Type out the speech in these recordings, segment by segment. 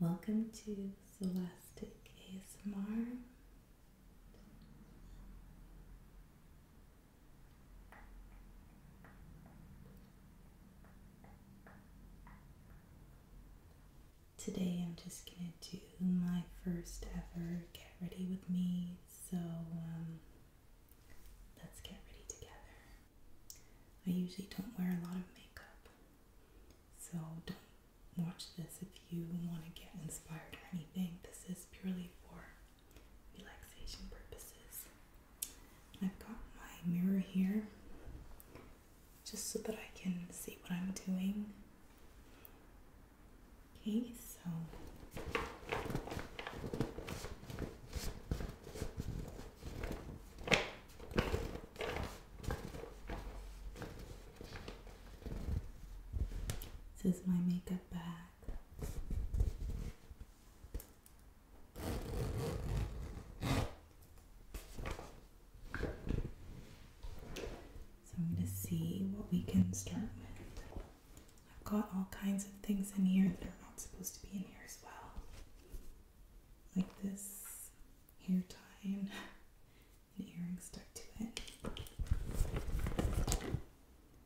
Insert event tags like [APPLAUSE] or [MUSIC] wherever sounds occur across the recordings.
Welcome to Celestic ASMR. Today I'm just going to do my first ever Get Ready With Me, so um, let's get ready together. I usually don't wear a lot of makeup, so don't watch this if you want to get inspired or anything. This is purely for relaxation purposes. I've got my mirror here just so that I can see what I'm doing. Okay, so this is my makeup bag. So I'm going to see what we can start with. I've got all kinds of things in here that are not supposed to be in here as well like this hair tie and an [LAUGHS] earring stuck to it.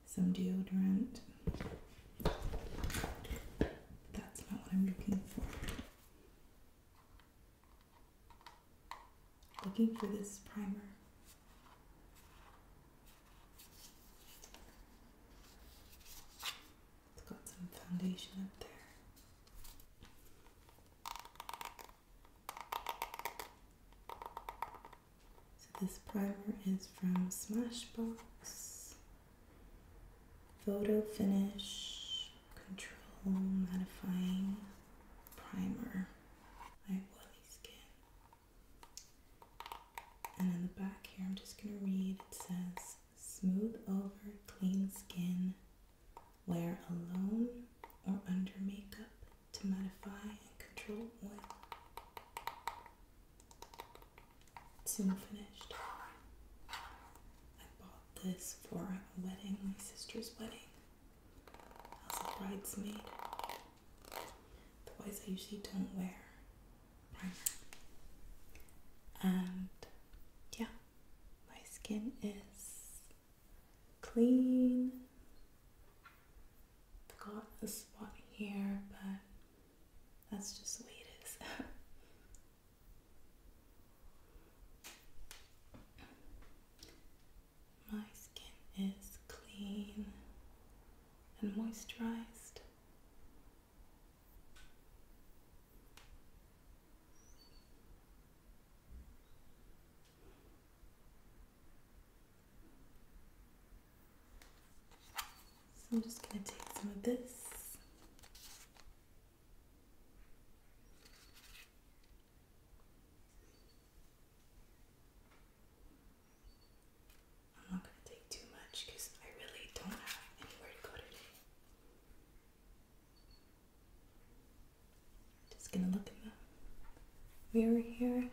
Some deodorant. That's not what I'm looking for. Looking for this primer. It's got some foundation up there. So this primer is from Smashbox. Photo Finish Control Mattifying Primer. I oily skin. And in the back here, I'm just going to read. It says, smooth over clean skin. Wear alone or under makeup to modify and control oil. Soon finished. I bought this for a wedding, my sister's wedding. As a bridesmaid. The ones I usually don't wear. And yeah, my skin is clean. got a spot here, but that's just the way it is. [LAUGHS] my skin is clean and moisturized. So I'm just going to take some of this. I'm not going to take too much because I really don't have anywhere to go today. Just gonna look in the mirror here.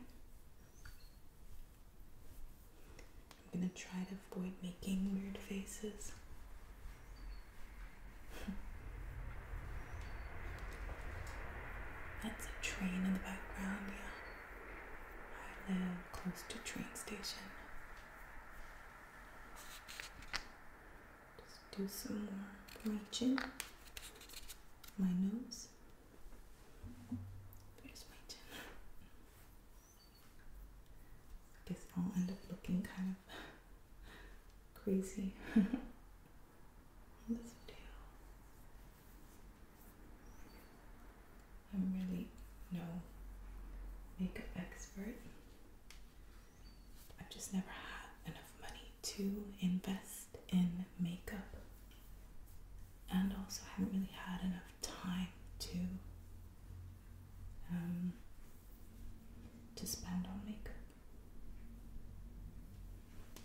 I'm gonna try to avoid making weird faces. [LAUGHS] That's a train in the background, yeah. I live close to train station. Just do some more reaching. My nose. There's my chin? I guess I'll end up looking kind of crazy. [LAUGHS] this video. I'm really no makeup expert. I've just never had enough money to invest in makeup, and also I haven't really had enough time to um, to spend on makeup.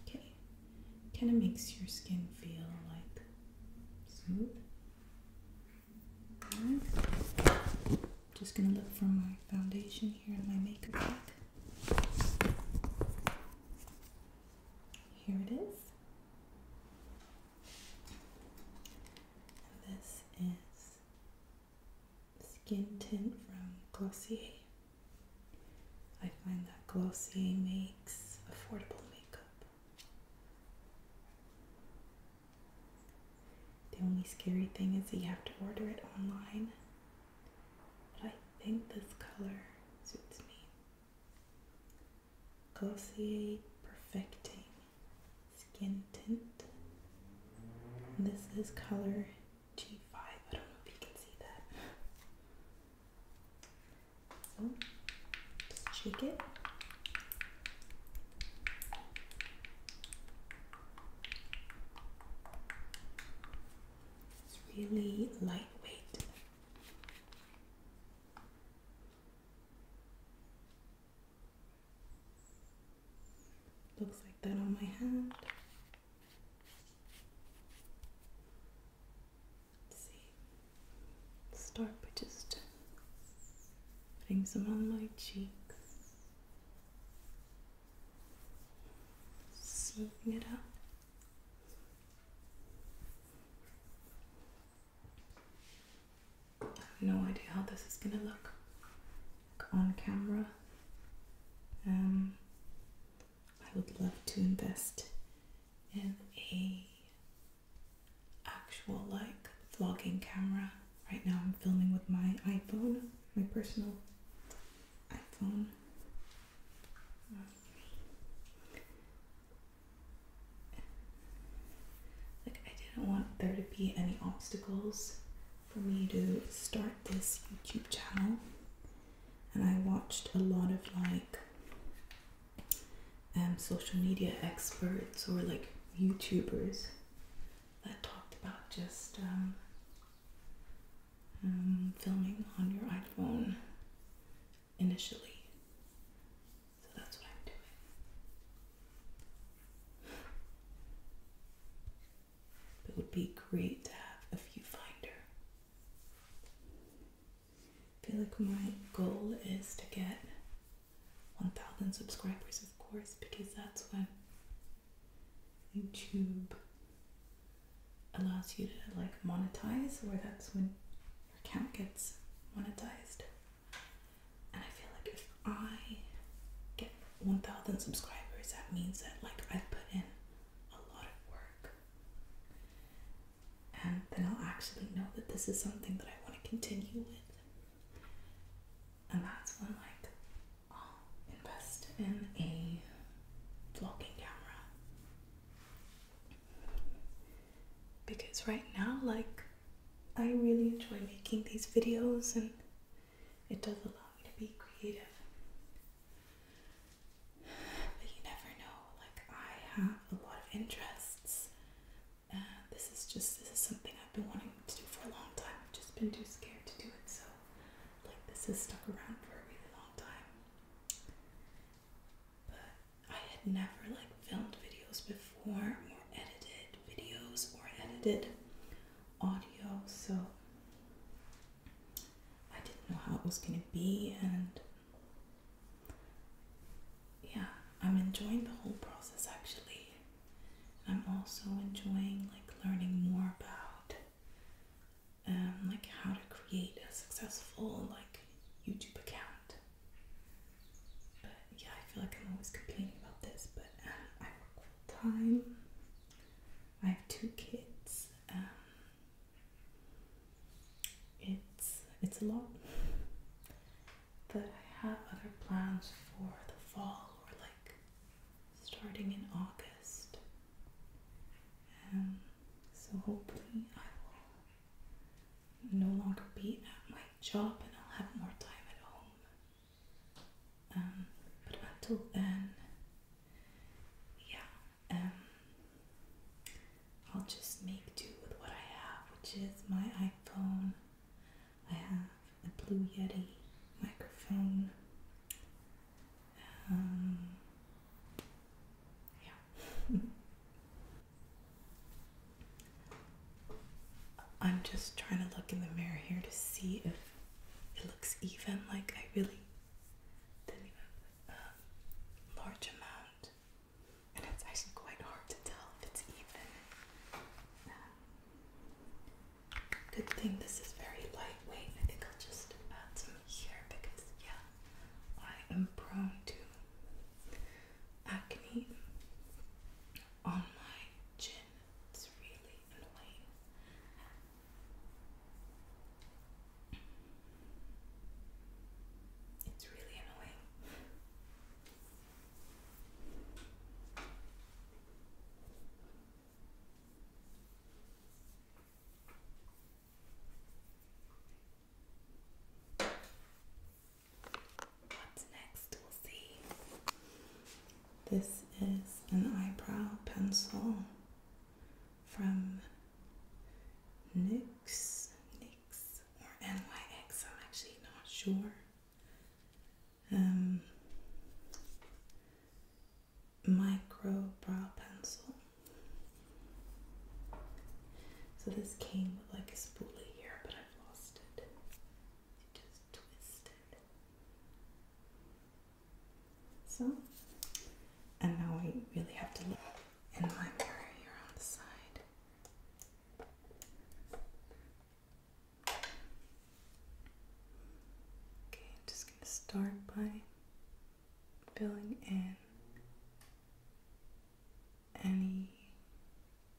Okay, kind of makes your skin feel like smooth. Right. Just gonna look for my foundation here in my makeup bag. Here it is. this is Skin Tint from Glossier. I find that Glossier makes affordable makeup. The only scary thing is that you have to order it online. But I think this color suits me. Glossier Perfecting Skin Tint. this is color G5. I don't know if you can see that. shake it. It's really lightweight. Looks like that on my hand. see, start by just putting some on my cheeks, smoothing it up. I have no idea how this is gonna look on camera. Um, I would love to invest in a actual like vlogging camera. Right now I'm filming with my iPhone, my personal iPhone. Like I didn't want there to be any obstacles for me to start this YouTube channel. And I watched a lot of like um, social media experts or like YouTubers that talked about just um, um, filming on your iPhone initially. So that's what I'm doing. It would be great to have a viewfinder. I feel like my goal is to get 1,000 subscribers, of course, because that's when YouTube allows you to like monetize, or that's when your account gets monetized. And I feel like if I get 1,000 subscribers, that means that like I put in a lot of work, and then I'll actually know that this is something that I want to continue with. And that's when like i invest in a vlogging camera. Because right now like I really enjoy making these videos and it does allow me to be creative. But you never know, like I have a lot of interests uh, this is just this is something I've been wanting to do for a long time. I've just been too scared to do it, so like this has stuck around for a really long time. But I had never like filmed videos before or edited videos or edited audio, so I didn't know how it was gonna be and yeah, I'm enjoying the whole process actually. I'm also enjoying like learning more about um, like how to create a successful like YouTube account. But yeah, I feel like I'm always complaining about this, but um, I work full time. I have two kids. Um, it's it's a lot. That I have other plans for the fall or like starting in August. And so hopefully I will no longer be at my job and I'll have more time at home. Um, but until then, yeah, um, I'll just make do with what I have, which is my iPhone I have a Blue Yeti microphone. Um, yeah. [LAUGHS] I'm just trying to look in the mirror here to see if it looks even. Like I really didn't even um, large amount, and it's actually quite hard to tell if it's even. Um, Good thing this is very lightweight. I think I'll just add some here because, yeah, I am prone to acne on my chin. It's really annoying. It's really annoying. What's next? We'll see. This is an eyebrow pencil from NYX, NYX, or NYX, I'm actually not sure um, micro brow pencil. So this came with like a spoolie here, but I've lost it. It just twisted. So, and now I really have to look in my mirror here on the side. Okay, I'm just going to start by filling in any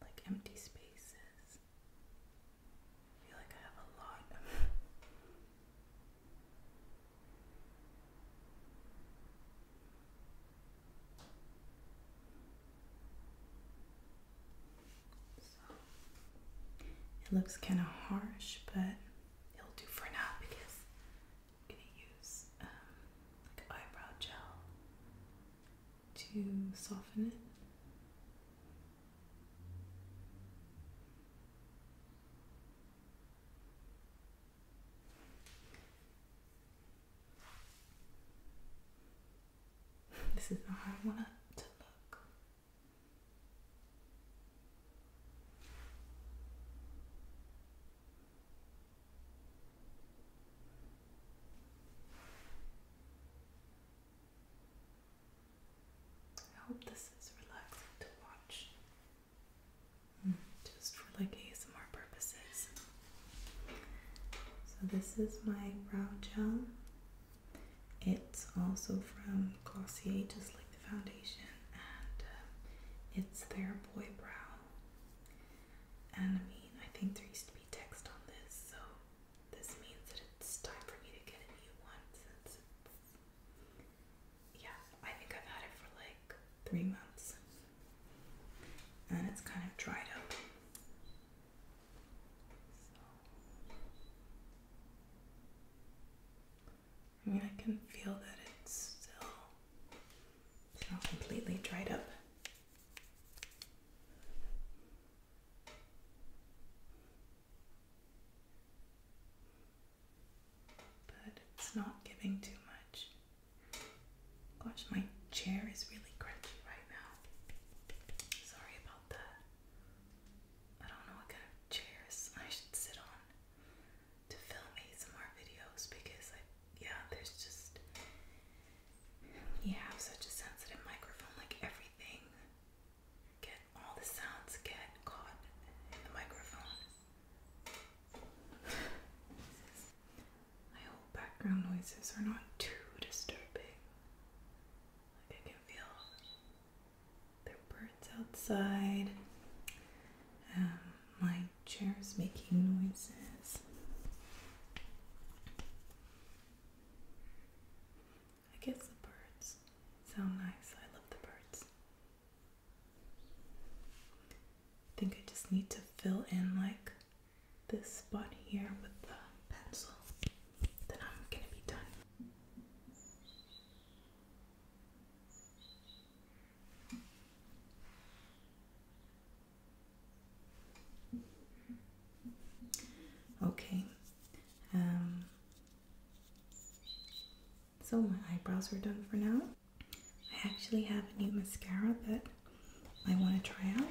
like empty spaces. I feel like I have a lot it looks kind of harsh, but it'll do for now because I'm gonna use um, like eyebrow gel to soften it. This is not how I want it to look. I hope this is relaxing to watch. Mm, just for like ASMR purposes. So, this is my brow gel. It's also from Glossier, just like the foundation, and um, it's their Boy Brow. And I mean, I think there used to be text on this, so this means that it's time for me to get a new one Yeah, I think I've had it for like three months. And it's kind of dried up. I mean, I can feel that it's still, not completely dried up. But it's not giving too much. Gosh, my chair is really crunchy right now. Sorry about that. I don't know what kind of chairs I should sit on to film ASMR videos because yeah, there's just, you have such a sensitive microphone, like everything, get, all the sounds get caught in the microphone. I hope background noises are not too disturbing. Like I can feel the birds outside, um, my chair's making noises. I guess the birds sound nice. I love the birds. I think I just need to fill in like this spot here with the pencil. Then I'm gonna be done. Okay. Um, so my eyebrows are done for now. I actually have a new mascara that I want to try out.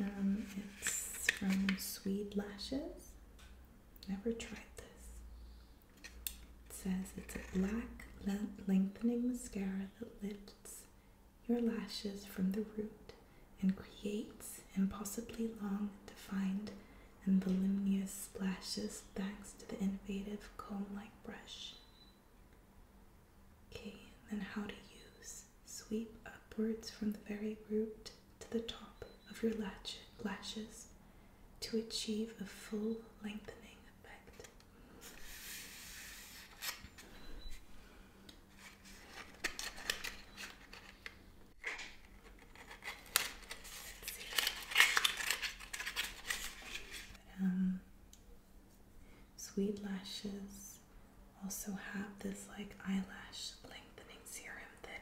Um, it's from Swede Lashes. Never tried this. It says it's a black lengthening mascara that lifts your lashes from the root and creates impossibly long, defined and voluminous splashes thanks to the innovative comb-like brush. Okay, then how to use. Sweep upwards from the very root to the top of your lash lashes to achieve a full lengthening effect. Um, Sweet Lashes also have this like eyelash lengthening serum that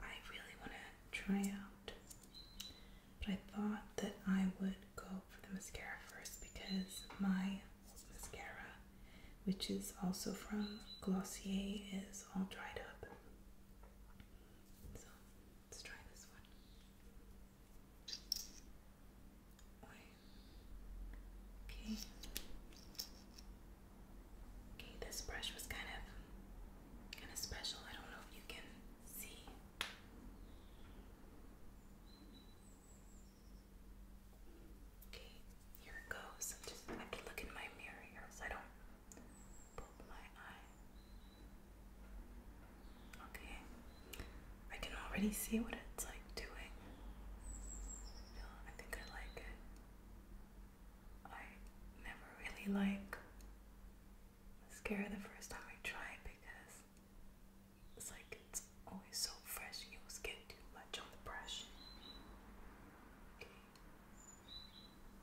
I really want to try out. But I thought that I would go for the mascara first because my mascara, which is also from Glossier, is all dried up. So let's try this one. Okay. Okay, this brush was kind of kind of special. I don't know if you can see. Okay, here it goes. i can look in my mirror so I don't Okay, I can already see what it's like doing. I think I like it. I never really like mascara the first time I try because it's like it's always so fresh and you always get too much on the brush. Okay.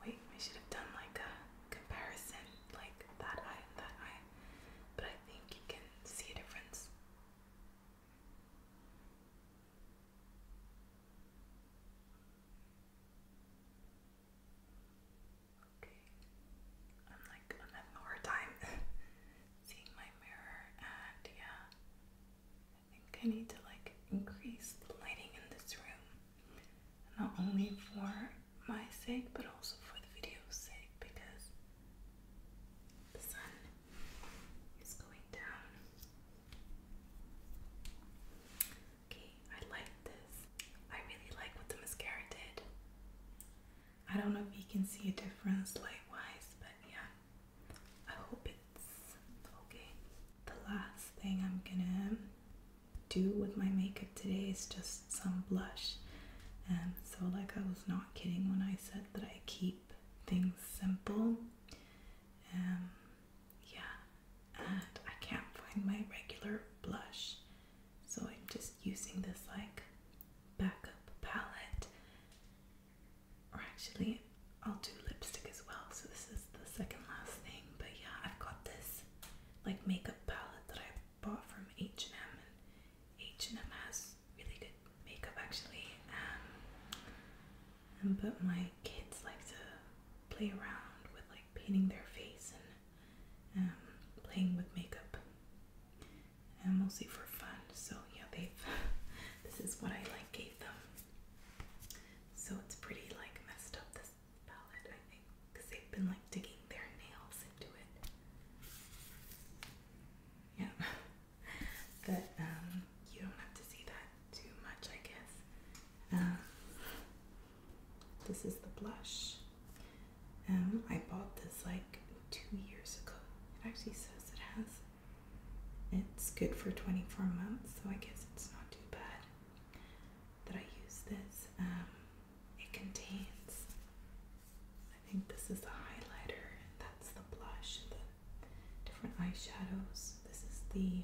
Wait, I should have done like a comparison, like that eye that eye. But I think you can see a difference. Okay. I'm like, i having a hard time [LAUGHS] seeing my mirror, and yeah, I think I need to like increase the lighting in this room. Not only for my sake, but also for the video's sake because the sun is going down. Okay, I like this. I really like what the mascara did. I don't know if you can see a difference light wise, but yeah, I hope it. Okay. The last thing I'm gonna do with my makeup today is just some blush. and um, so, like, I was not kidding when I said that I keep things simple. And um, yeah, and I can't find my regular blush, so I'm just using this like backup palette. Or actually, I'll do lipstick as well. So this is the second last thing. But yeah, I've got this like makeup palette that I bought from H and M, and H and M has really good makeup actually. Um, but my kids like to play around with like painting their face and um, playing with makeup, and mostly for fun. So yeah, they've. [LAUGHS] this is what I like gave them. So it's pretty like messed up this palette, I think, because they've been like digging their nails into it. Yeah, [LAUGHS] but um, you don't have to see that too much, I guess. Um, this is the blush. Um, I bought this like two years ago. It actually says it has. It's good for 24 months, so I guess it's not too bad that I use this. Um, it contains, I think this is the highlighter, that's the blush, the different eyeshadows. This is the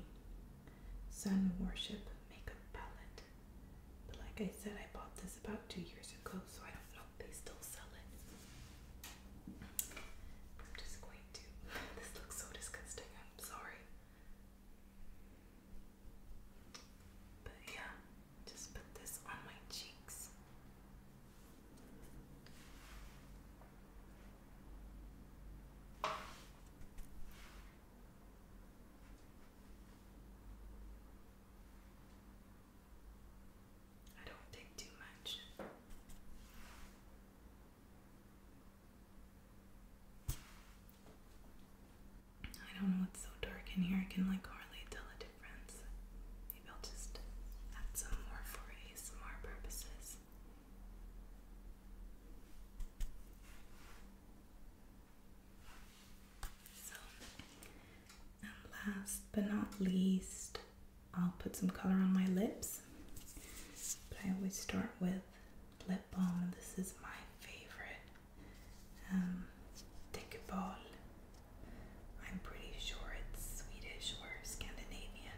Sun Worship Makeup Palette. But like I said, I bought this about two years ago, so I don't know if they still sell it. I'm just going to. [LAUGHS] This looks so disgusting. I'm sorry. But yeah, just put this on my cheeks. I don't think too much. I don't know, it's so dark in here, I can like hardly tell a difference. Maybe I'll just add some more for ASMR purposes. So, and last but not least, I'll put some color on my lips. But I always start with lip balm. This is my favorite. Um, I'm pretty sure it's Swedish or Scandinavian.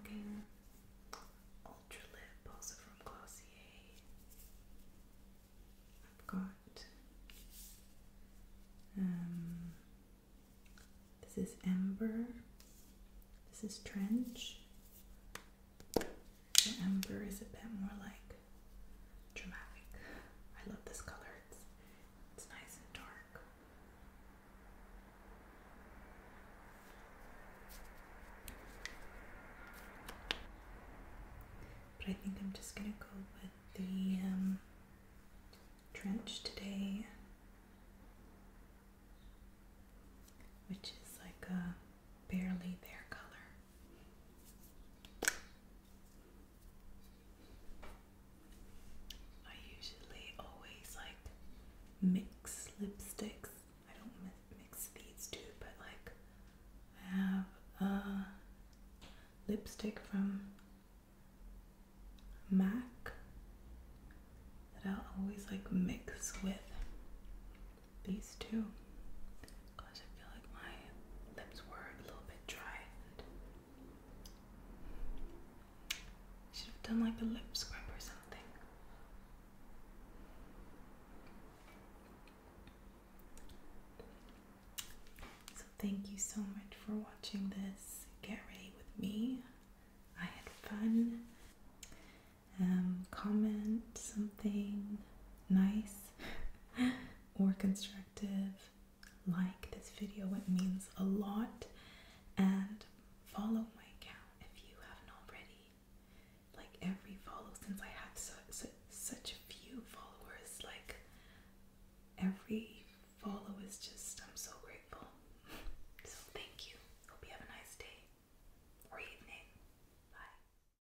Okay. Ultra Lip, also from Glossier. I've got. Um, this is Amber. This is Trench. The ember is a bit more like dramatic. I love this color. It's, it's nice and dark. But I think I'm just gonna go with the um, trench today, which is like a barely there color. I usually always like mix lipsticks. I don't mix these two, but like I have a lipstick from MAC that I'll always like mix with these two because I feel like my lips were a little bit dry. should have done like a lip scrub or something. So, thank you so much for watching this. Get ready with me. I had fun. Um, comment something nice or constructive, like this video. It means a lot. And follow my account if you haven't already. Like every follow, since I have such so, such a few followers, like every follow is just, I'm so grateful. [LAUGHS] so thank you. Hope you have a nice day or evening. Bye.